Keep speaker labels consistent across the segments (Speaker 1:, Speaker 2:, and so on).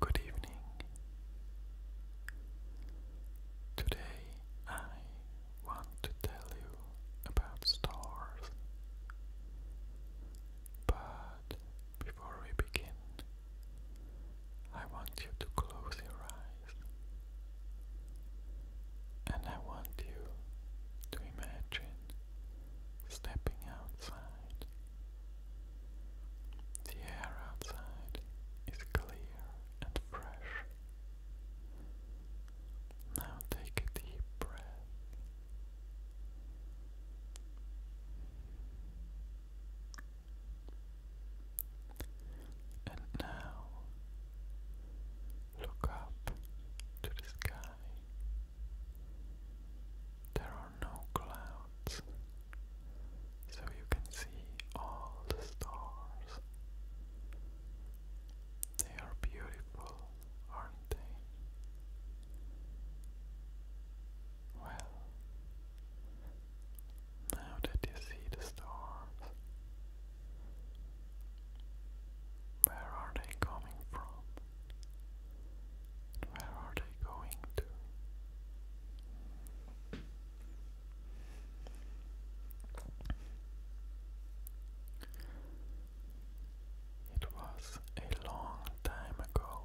Speaker 1: Good evening. Today I want to tell you about stars. But before we begin, I want you to close your eyes. And I want you to imagine stepping outside the air outside is clear and fresh. Now take a deep breath. And now look up to the sky. There are no clouds, so you can see all the stars. They are beautiful, aren't they? Well, now that you see the stars, where are they coming from? Where are they going to? It was a long time ago.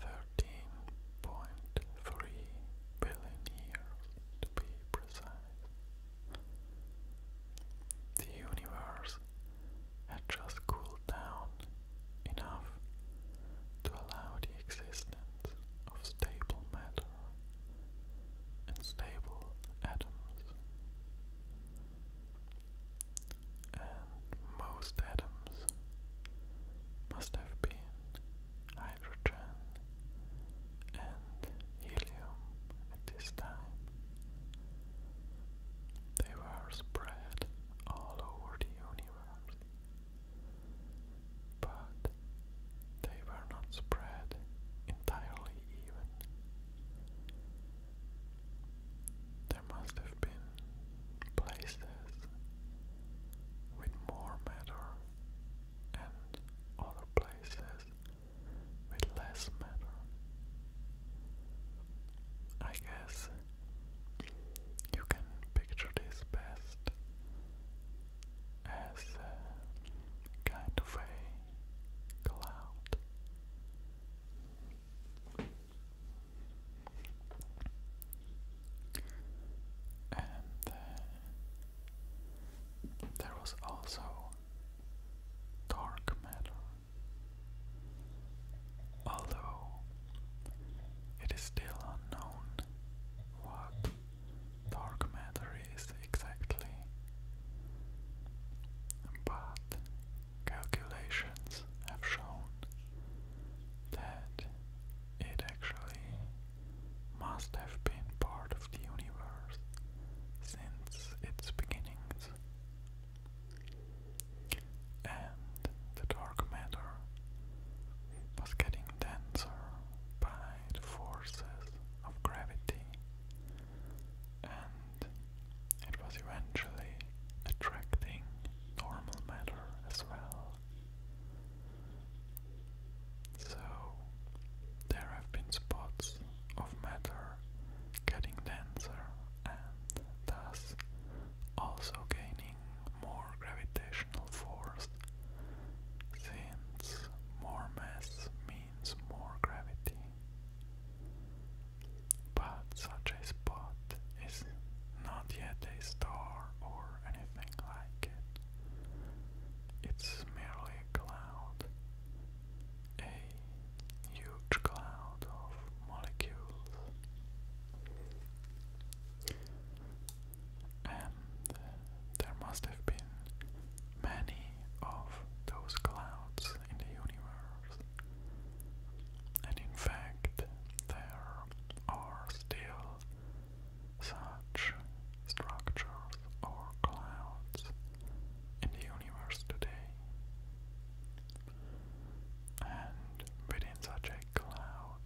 Speaker 1: Thirteen point three billion years to be precise. The universe had just cooled down enough to allow the existence of stable matter and stable atoms. And most atoms must have been hydrogen and helium at this time. They were spread all over the universe, but they were not spread entirely even. There must have been places with more matter and other places with less matter. I guess you can picture this best as a kind of a cloud. And uh, there was also dark matter although it is still unknown what dark matter is exactly. But calculations have shown that it actually must have been part of the universe since its beginnings and the dark matter was getting denser by the forces of gravity, and it was eventually attracting normal matter as well. So, there have been spots of matter getting denser and thus also gaining more gravitational force since more mass means more gravity. But such a spot is not yet a star or anything like it. It's merely a cloud, huge cloud of molecules, and uh, there must have been many of those clouds in the universe, and in fact, there are still such structures, or clouds in the universe today. And within such a cloud,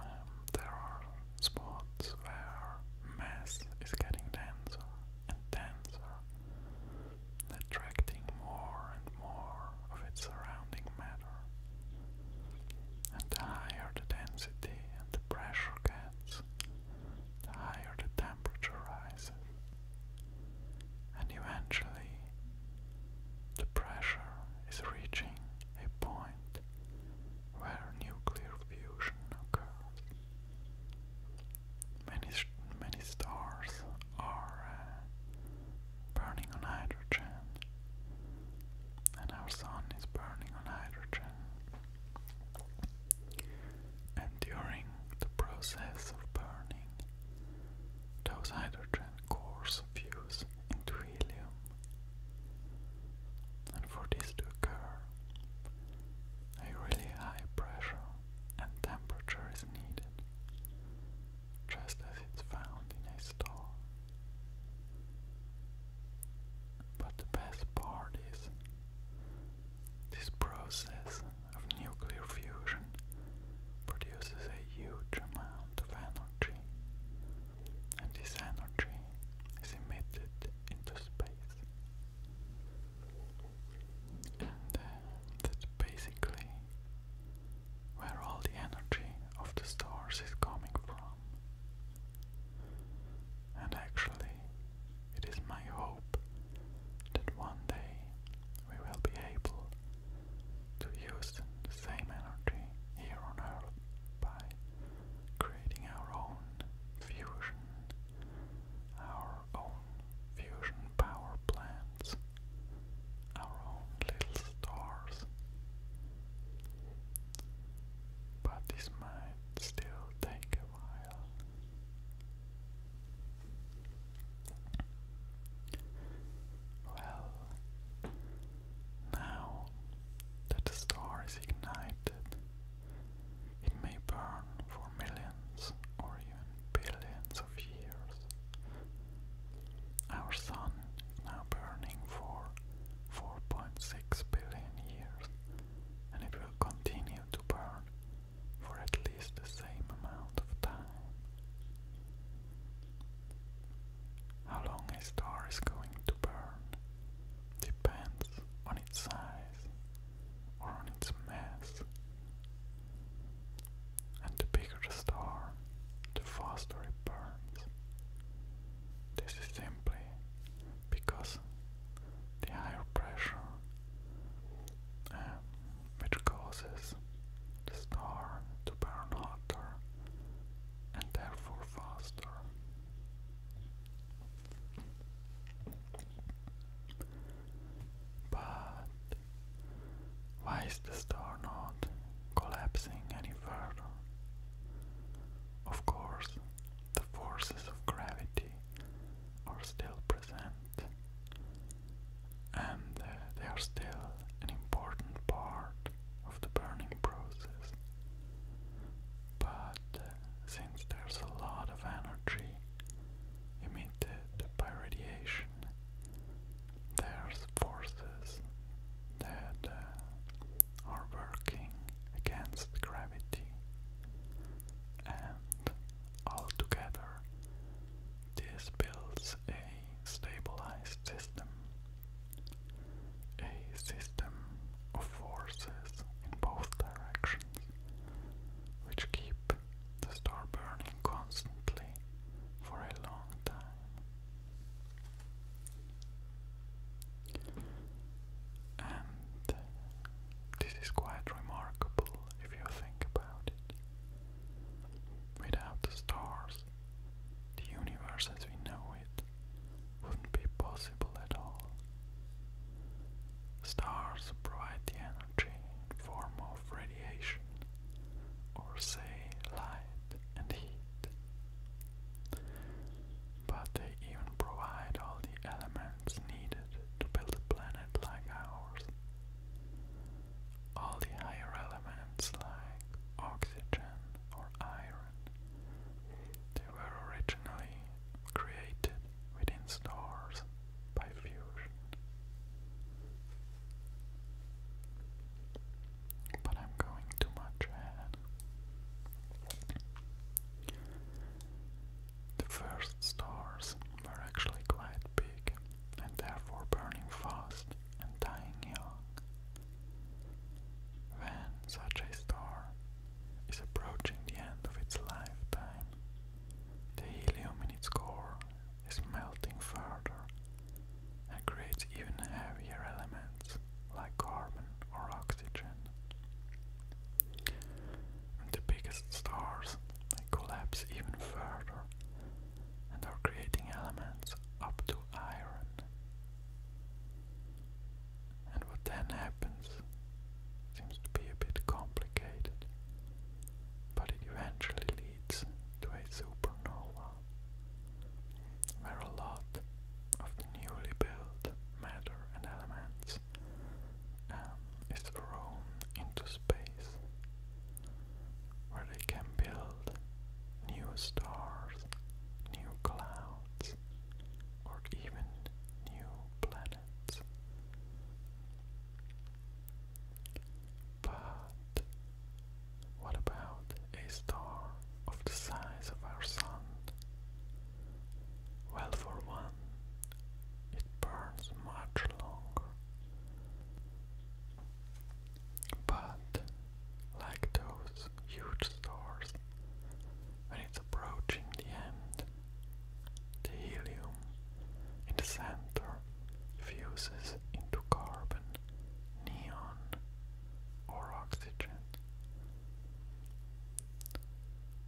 Speaker 1: um, there are spots where mass is getting denser and denser, attracting more and more of its surrounding matter. And the higher the density the pressure gets, the higher the temperature rises, and eventually the pressure is reaching a point where nuclear fusion occurs. Many, many stars are uh, burning on hydrogen, and our sun is burning on hydrogen. And during the process of burning, those hydrogen cores fuse into helium. And for this to occur, a really high pressure and temperature is needed, just as it's found in a star. But the best part is this process of nuclear fusion produces a huge amount of energy, and this energy is emitted into space. And uh, that's basically where all the energy of the stars is coming from. And actually, it is my hope that one day we will be able to use the same energy here on Earth by creating our own fusion, our own fusion power plants, our own little stars but this might still take a while. Well, now that the star is ignited, it may burn for millions or even billions of years. Our sun now burning for 4.6 billion years, and it will continue to burn for at least the same amount of time. How long a star is going to burn depends on its size or on its mass. And the bigger the star, the faster it burns. This is simply because the higher pressure um, which causes the star to burn hotter and therefore faster. But why is the star not collapsing any further? Of course, the forces of gravity are still present and uh, they are still an important part of the burning process. But uh, since there's a lot of energy emitted by radiation, there's forces that uh, are working against gravity, and altogether, this builds a stabilized system, a system of forces in both directions which keep the star burning constantly for a long time. And this is quite remarkable if you think about it. Without the stars, the universe as we know it wouldn't be possible at all. Stars provide the energy in form of radiation or say light and heat. But they even provide all the elements needed to build a planet like ours. All the higher elements like oxygen or iron, they were originally created within stars by fusion but I'm going too much ahead. The first stars were actually quite big and therefore burning fast and dying young. When such a star is approaching the end of its lifetime, the helium in its core is melting further and creates even heavier elements like carbon or oxygen. And the biggest stars they collapse even further and are creating elements up to iron. And what then happens seems to be a bit complicated, but it eventually leads to a supernova where a lot of the newly built matter and elements um, is thrown into space, where they can build new stars, new clouds, or even new planets. But what about a star of the size of our Sun? Well, for one, it burns much longer. But, like those huge stars, when it's approaching the end, the helium in the center fuses into carbon neon, or oxygen.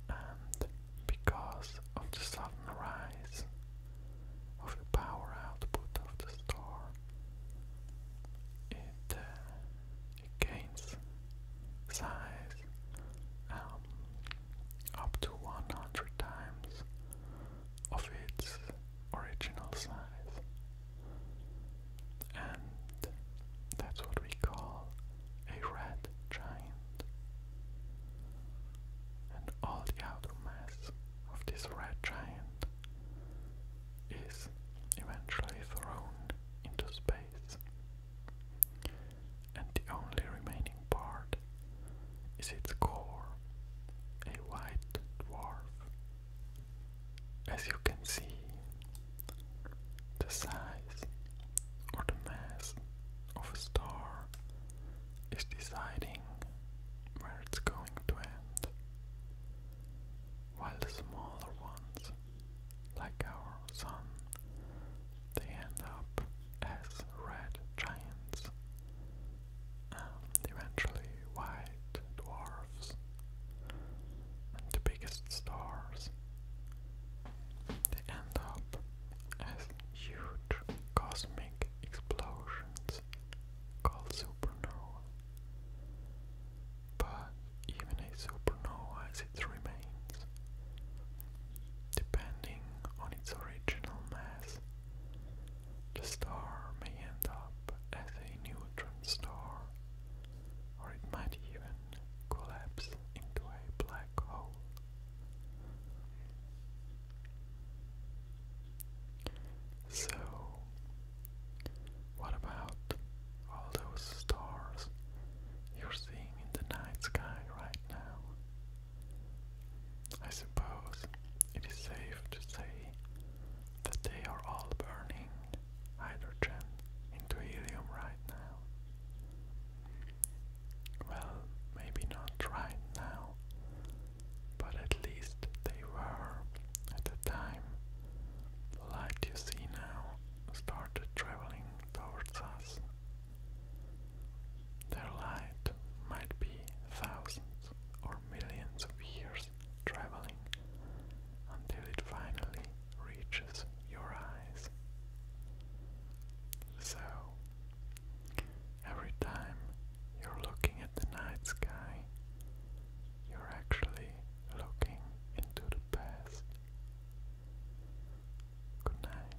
Speaker 1: And because of the sudden rise of the power output of the star, it, uh, it gains size um, up to 100 times of its original size. And that's what we call a red giant. And all the outer mass of this red giant is eventually thrown into space. And the only remaining part is its core a white dwarf? As you can see, the size or the mass of a star is deciding where it's going to end, while the smaller ones, like our Sun, they end up as red giants um, eventually white dwarfs and the biggest stars. They end up as huge cosmic explosions called supernovae. But even a supernova as it remains, depending on its original mass, the star may end up as a neutron star, or it might even collapse into a black hole. So, what about all those stars you're seeing in the night sky right now? I suppose it is safe to say that they are all burning hydrogen into helium right now. Well, maybe not right now, but at least they were at the time light you see now started traveling towards us. Their light might be thousands or millions of years traveling until it finally reaches your eyes. So, every time you're looking at the night sky, you're actually looking into the past. Good night.